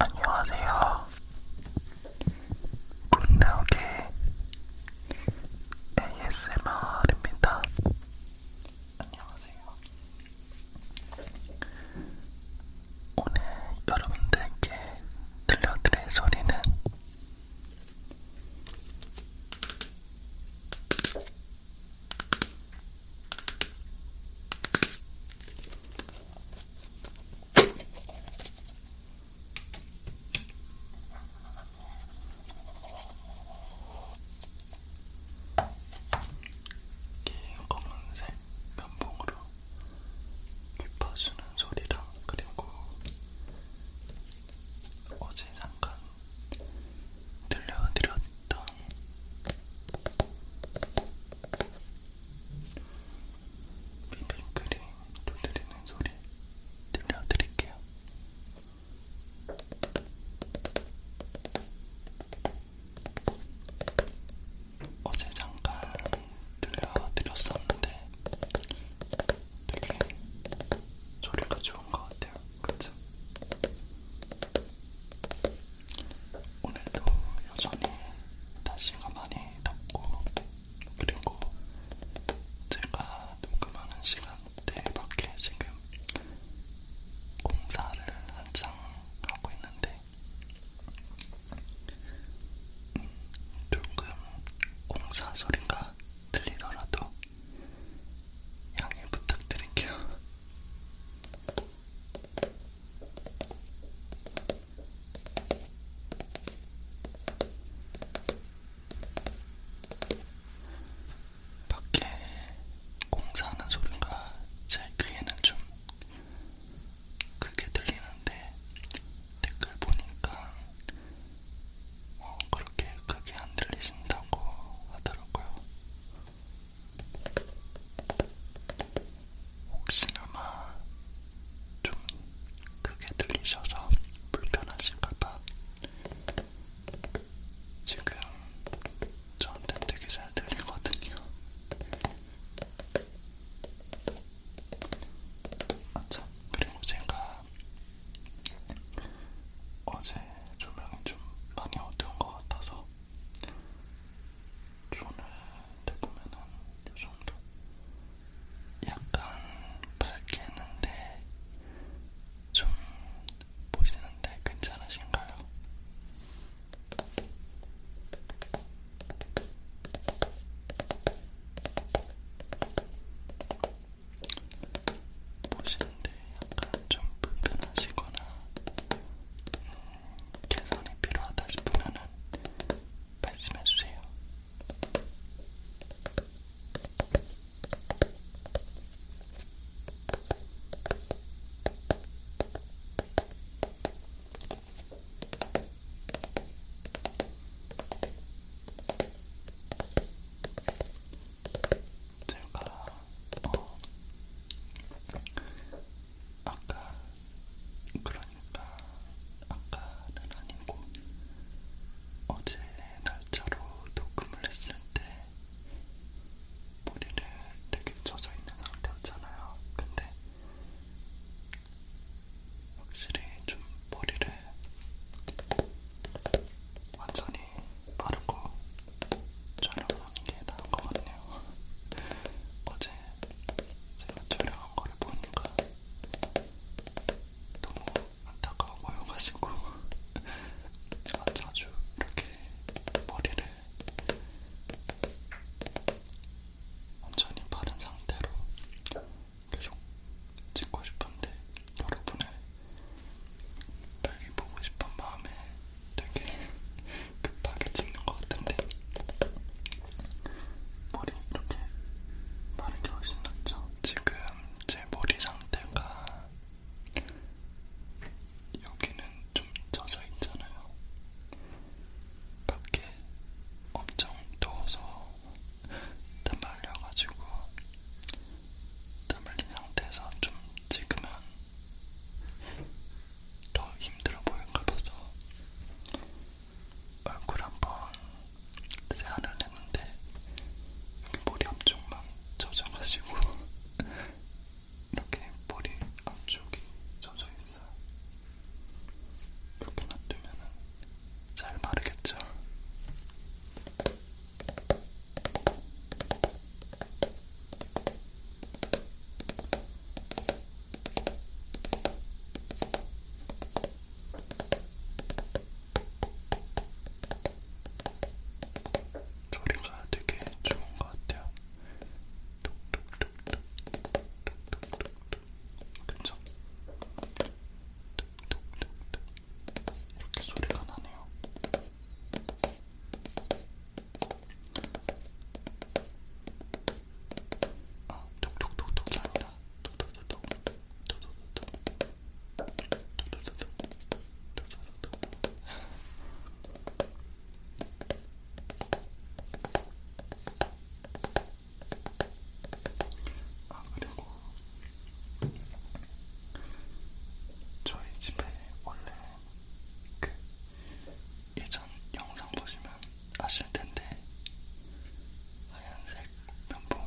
안녕하세요. 문나오게 ASMR입니다. 안녕하세요. 오늘 여러분들께 들려드릴 소리는 긴 검은색 면봉으로 휘파주는 소리랑 그리고 어제 잠깐 들려드렸던 비빔크림 두드리는 소리 들려드릴게요. 어제 잠깐 들려드렸었는데 되게 소리가 좋은 것 같아요. 그쵸? 오늘도 여전히 날씨가 많이 덥고 네. 그리고 제가 녹음하는 시간대밖에 지금 공사를 한창 하고 있는데 음, 조금 공사 소리가 들리더라도 양해 부탁드릴게요. 밖에 공사하는 소리가 제 귀에는 좀 크게 들리는데 댓글 보니까 어, 그렇게 크게 안 들리신다고 하더라고요. 혹시나마 좀 크게 들리셔서 불편하실까봐 지금 저한테 되게 잘 들리거든요. 아참 그리고 제가 어제 조명이 좀 많이 어두운 것 같아서 오늘 대보면은 이 정도. 약간 밝게 했는데 좀 보시는데 괜찮으신가요? 보시는데 약간 좀 불편하시거나 음, 개선이 필요하다 싶으면은 말씀해 주세요. 제가 어, 아까 그러니까 아까는 아니고 어제 날짜로 녹음을 했을 때 머리를 되게 젖어 있는 상태였잖아요. 근데 확실히 좀 머리를 완전히 바르고 촬영하는 게 나은 거거든요. 어제 제가 촬영한 거를 보니까 너무 안타까워 보여가지고 제가 아, 자주 이렇게 머리를 완전히 바른 상태로 계속 찍고 싶은데 여러분을 빨리 보고 싶은 마음에 되게 급하게 찍는 것 같은데 머리 이렇게 마른 게 훨씬 낫죠? 지금 제 머리 상태가 여기는 좀 젖어 있잖아요. 밖에 엄청 더워서 땀 말려가지고 땀 말린 상태에서 좀 찍으면 더 힘들어 보일 것 같아서 얼굴 한번 세안을 했는데 머리 앞쪽만 젖어가지고 이렇게 머리 앞쪽이 젖어 있어요. 이렇게 놔두면 잘 마르겠죠? 소리가 되게 좋은 것 같아요. 그쵸? 이렇게 소리가 나네요. 아, 톡톡톡톡이 아니라 톡톡톡톡 톡톡톡톡 톡톡톡톡 톡톡톡톡 아, 그리고 저희 집에 원래 그 예전 영상 보시면 아실 텐데 하얀색 면봉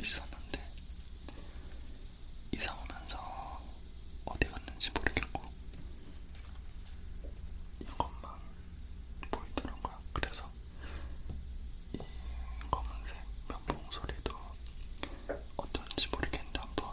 있었는데 이사 오면서 어디 갔는지 모르겠고 이것만 보이더라고요. 그래서 이 검은색 면봉 소리도 어떤지 모르겠는데 한번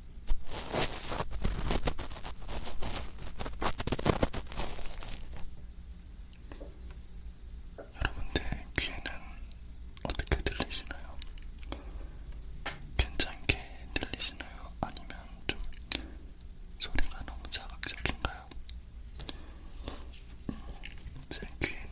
여러분들 귀에는 어떻게 들리시나요? 괜찮게 들리시나요? 아니면 좀 소리가 너무 자극적인가요? 음, 제 귀에는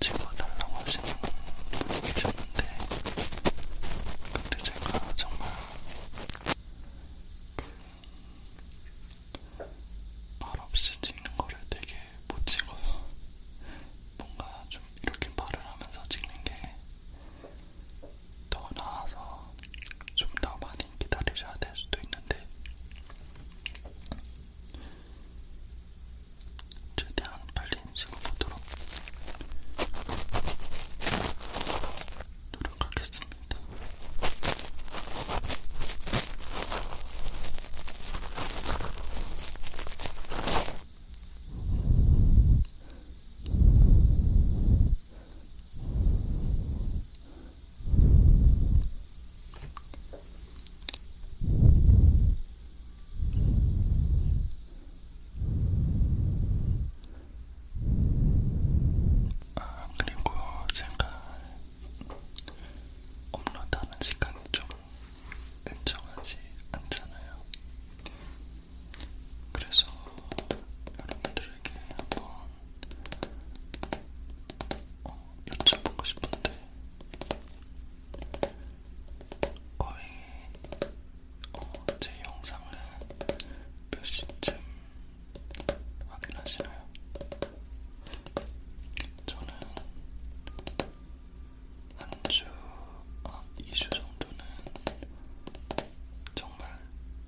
찍어달라고 하시는 분이 계셨는데, 근데 제가 정말 그 말 없이 찍는 거를 되게 못 찍어요. 뭔가 좀 이렇게 말을 하면서 찍는 게 더 나아서 좀 더 많이 기다리셔야 될 수도 있는데 최대한 빨리 찍어보도록 노력하겠습니다. 아, 그리고 제가 업로드하는 시간이 좀 일정하지 않잖아요. 그래서 여러분들에게 한번 어, 여쭤보고 싶은데 거의 어, 제 영상을 몇 시쯤 확인하시나요? 저는 한 주, 아, 어, 2주 정도는 정말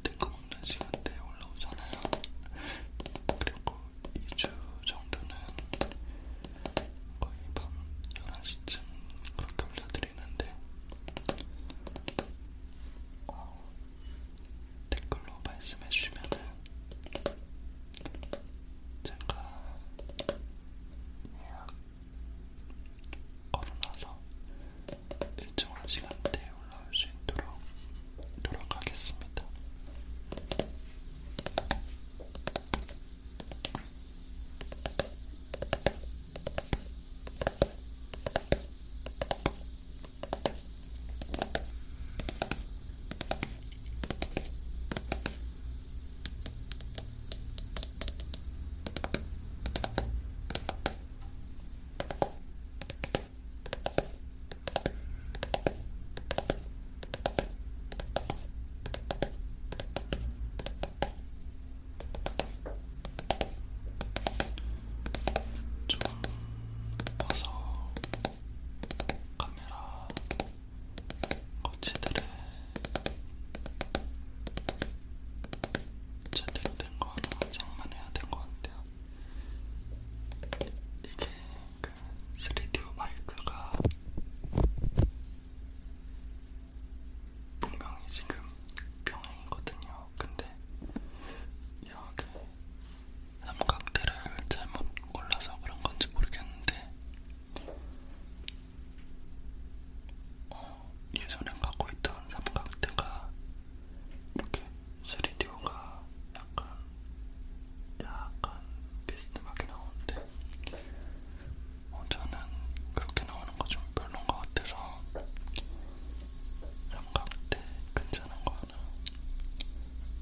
뜬금없는 시간대에 올라오잖아요. 그리고 2주 정도는 거의 밤 11시쯤 그렇게 올려드리는데, 어, 댓글로 말씀해 주시면 제가 예약 걸어놔서 일정한 시간대에 올라올 수 있도록 노력하겠습니다. 좀 와서 카메라 거치들을 제대로 된거 하나 장만해야 된 거 같아요. 이게 그 3D 마이크가 분명히 지금 병행이거든요. 근데 이상하게 삼각대를 잘못 골라서 그런 건지 모르겠는데 어, 예전에 갖고 있던 삼각대가 이렇게 3D가 약간 약간 비스듬하게 나오는데 어, 저는 그렇게 나오는 거 좀 별론 것 같아서 삼각대 괜찮은 거 하나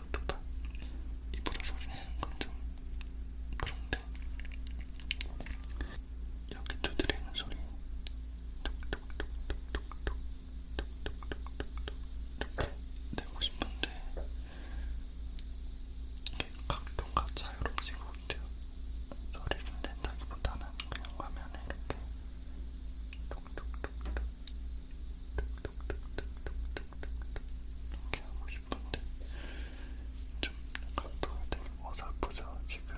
또다또다 입으로 소리 내는 건좀 그런데 여기 두드리는 소리 톡톡톡톡톡톡톡톡톡톡톡 이렇게 내고 싶은데 이게 각도가 자유롭지가 못해요. 소리를 낸다기보다는 그냥 화면에 이렇게 톡톡톡톡 톡톡톡톡 이렇게 하고 싶은데 좀 각도가 되게 어설프죠 지금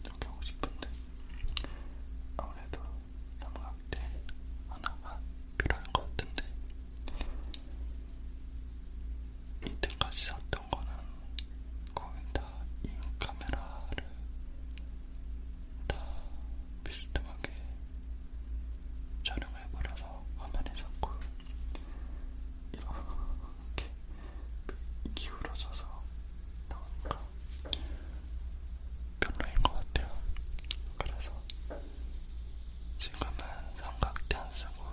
이렇게 하고 싶은데 아무래도 삼각대 하나가 필요한 것 같은데 이때까지 샀던 거는 거의 다 이 카메라를 다 비스듬하게 촬영해버려서 화면이 자꾸 이렇게 기울어져서 그 나오니까 별로인 것 같아요. 그래서 지금은 삼각대 안 쓰고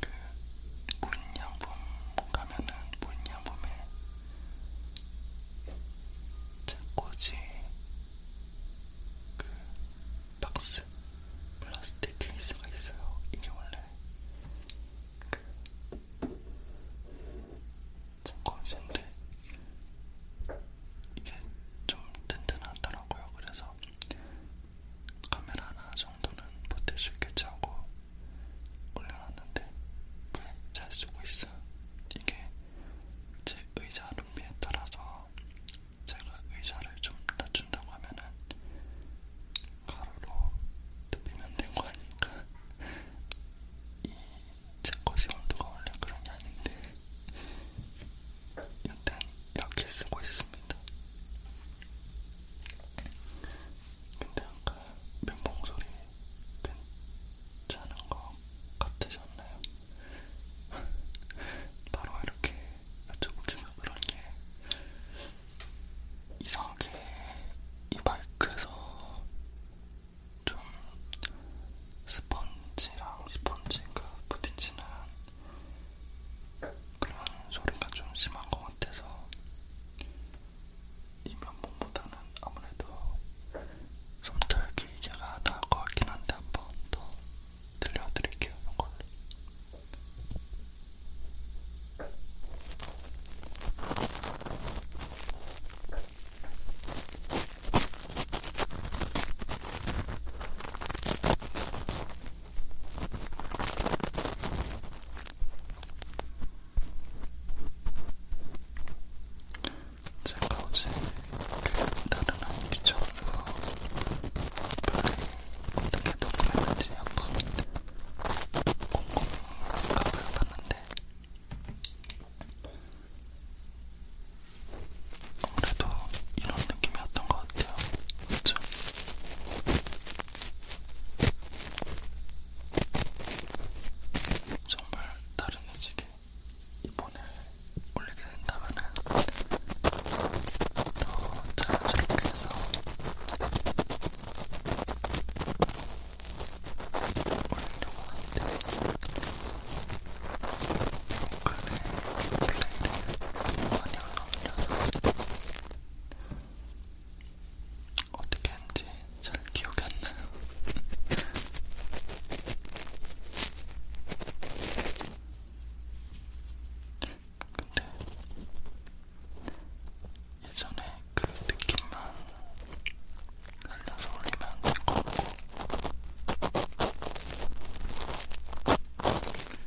그 무인양품 가면은 무인양품에 책꽂이 그 박스 플라스틱 케이스가 있어요. 이게 원래 그 책꽂이인데 이게 좀 튼튼하더라고요. 그래서 카메라 하나 정도는 보태수 있겠지 하고 올려놨는데 왜잘 쓰고 있어요? 이게 제 의자 룸비에 따라서 제가 의자를 좀 낮춘다고 하면은 가로로 눕히면 된거 아닙니까? 이제 거시 온도가 원래 그런 게 아닌데 일단 이렇게 쓰고 있습니다. 근데 아까 면봉 소리 괜찮은 것 같으셨나요? 바로 이렇게 여쭤보기면 그런 게 이상하게 이 마이크에서 좀 스펀지랑 스펀지가 부딪히는 그런 소리가 좀 심한 것 같아서 이 면봉보다는 아무래도 솜털 기계가 나을 것 같긴 한데 한번더 들려드릴게요 이걸. 제가 어제 그 다른 한 기초로 어떻게 녹음했는지 한번 꼼꼼히 가보려봤는데 아무래도 이런 느낌이었던 것 같아요. 그렇죠? 정말 다른 매직에 이번에 올리게 된다면 더 자연스럽게 해서 올리려고 하는데 이번에 플레이를 많이 안 올려서 어떻게 한지 잘 기억이 안 나요. 근데 예전에 그 느낌만 날려서 올리면 될것 같고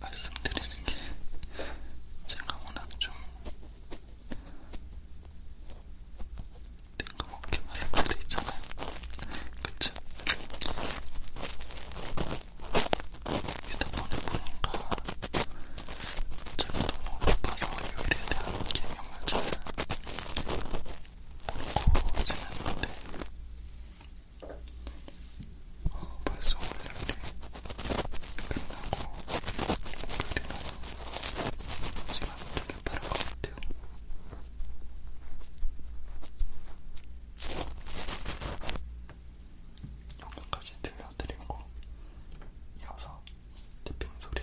말씀드리는 게 제가 워낙 좀 뜬금없게 말할 때도 있잖아요. 그쵸? 휴대폰에 보니까 제가 너무 바빠서 요일에 대한 개념을 잘 모르고 지냈는데 어, 벌써 월요일이 끝나고 목요일이라서 시간 되게 빠른 것 같아요. 여기까지 들려드리고 이어서 디핑 소리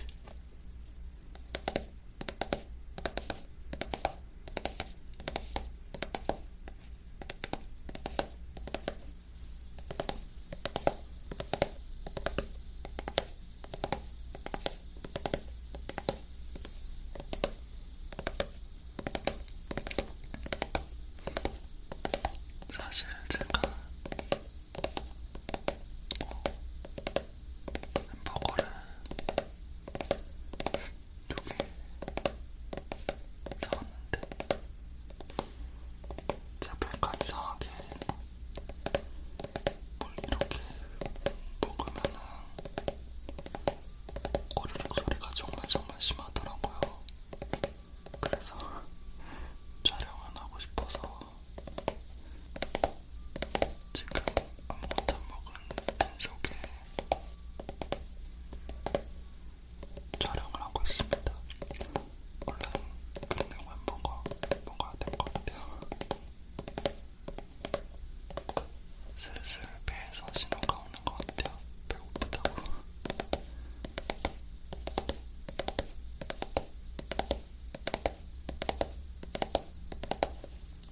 사실 제가 햄버거를 두개 사왔는데 제가 약간 이상하게 뭘 이렇게 먹으면은 꼬르륵 소리가 정말 정말 심하더라고요. 그래서 촬영은 하고 싶어서 지금 아무것도 안 먹은 빈속에 촬영을 하고 있습니다. 원래 그런 내용은 뭔가, 뭔가 될것 같아요. 슬슬 배에서 신호가 오는 것 같아요. 배고프다고.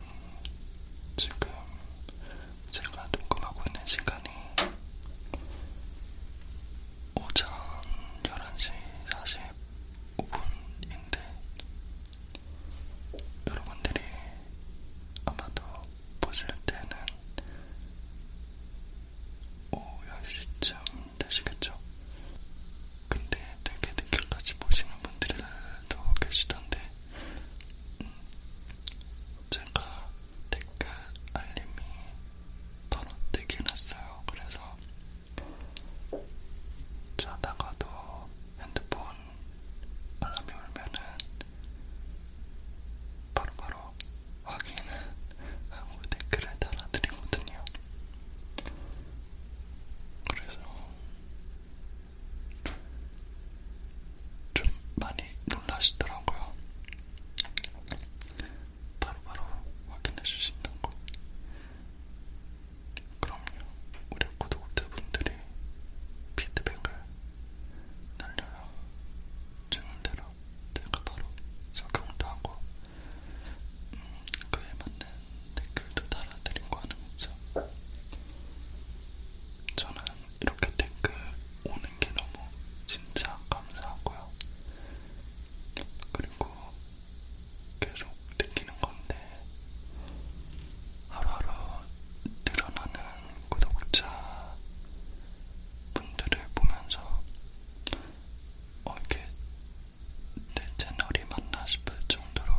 음, 지금 제가 녹음하고 있는 시간이 오전 11시 45분인데 여러분들이 아마도 보실 때는 오후 10시쯤 되시겠죠? 근데 되게 늦게까지 보시는 분들도 계시던데 음, 제가 댓글 알림이 바로 뜨긴 했어요. 그래서 자다가도 핸드폰 알람이 울면은 바로바로 확인을 하고 댓글을 달아드리거든요. 그래서 좀 많이 놀라시더라고요. 바로바로 확인해 주신다는 거. 그럼요, 우리 구독자분들이 피드백을 날려요. 주는 대로 제가 바로 적용도 하고, 음, 그에 맞는 댓글도 달아드리고 하는 거죠. 저는 이렇게 댓글 오는 게 너무 진짜 감사하고요. 그리고 계속 느끼는 건데 하루하루 늘어나는 구독자 분들을 보면서 어, 이게 내 채널이 맞나 싶을 정도로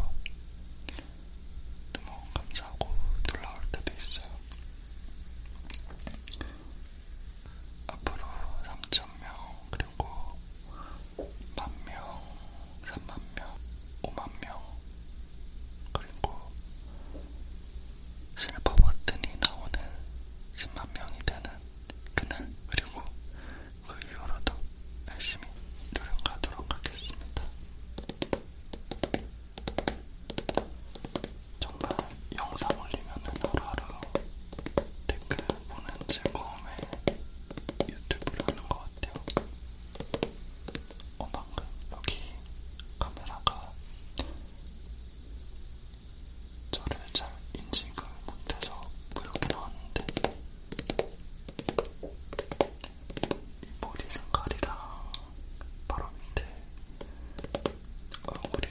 너무 감사하고 놀라울 때도 있어요. 앞으로 3,000명, 그리고 만명, 3만명, 5만명, 그리고 실버 버튼이 나오는 10만명이 되는 그날, 그리고 그 이후로도 열심히 노력하도록 하겠습니다. 정말 영상 올리면은 하루하루 댓글 보는 즐거움에 유튜브를 하는 것 같아요. 어, 방금 여기 카메라가 저를 잘 인식을 못해서 그렇게 나왔는데 이 머리 색깔이랑 바로 밑에 얼굴이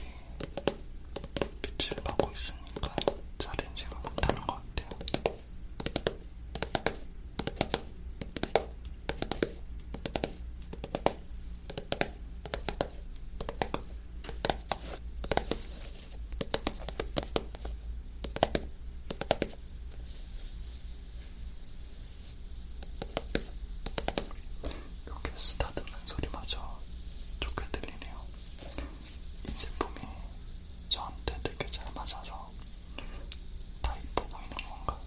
빛을 받고 있으니까 자렌지가 못하는 것 같아요. 이렇게 쓰다듬는 소리마저 좋게 들리네요. 이 제품이 저한테 되게 잘 맞아서 다 이뻐 보이는 건가?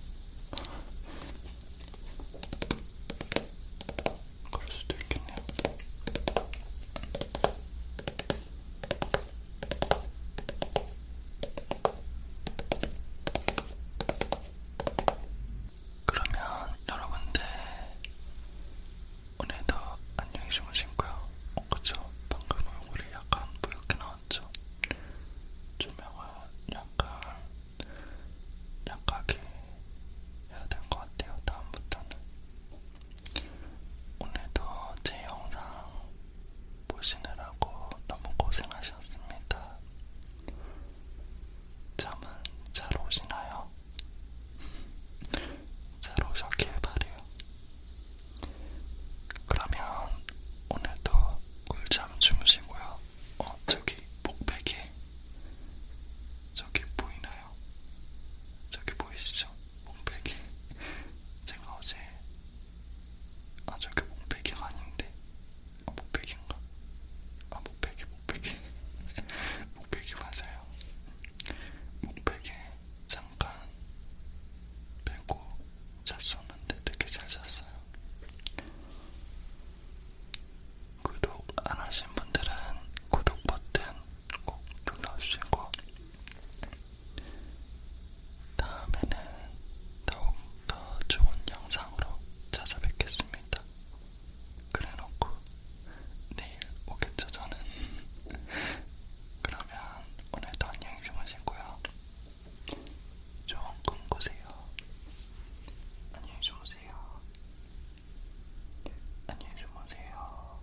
그럴 수도 있겠네요. 그러면 여러분들 오늘도 안녕히 주무시고요. 어, 그쵸? 방금 얼굴이 약간 뿌옇게 나왔죠? 조명을 약간 약하게 해야 될 것 같아요. 다음부터는 오늘도 제 영상 보시느라고 너무 고생하셨습니다. 잠은 잘 오시나요? 잘 오셨길 바래요. 그러면 오늘도 꿀잠 주무시고요. 어 저기 목베개 저기 보이나요? 저기 보이시죠? 목베개 제가 어제 아 저기 목베개가 아닌데 아, 목베개인가? 아, 목베개, 목베개. 목베개 맞아요. 목베개 잠깐 빼고 잤었는데 되게 잘 잤어요. 구독 안 하신 분들은 구독 버튼 꼭 눌러주시고 다음에는 더욱더 좋은 영상으로 찾아뵙겠습니다. 그래놓고 내일 오겠죠 저는. 그러면 오늘도 안녕히 주무시고요. 좋은 꿈 꾸세요. 안녕히 주무세요. 안녕히 주무세요.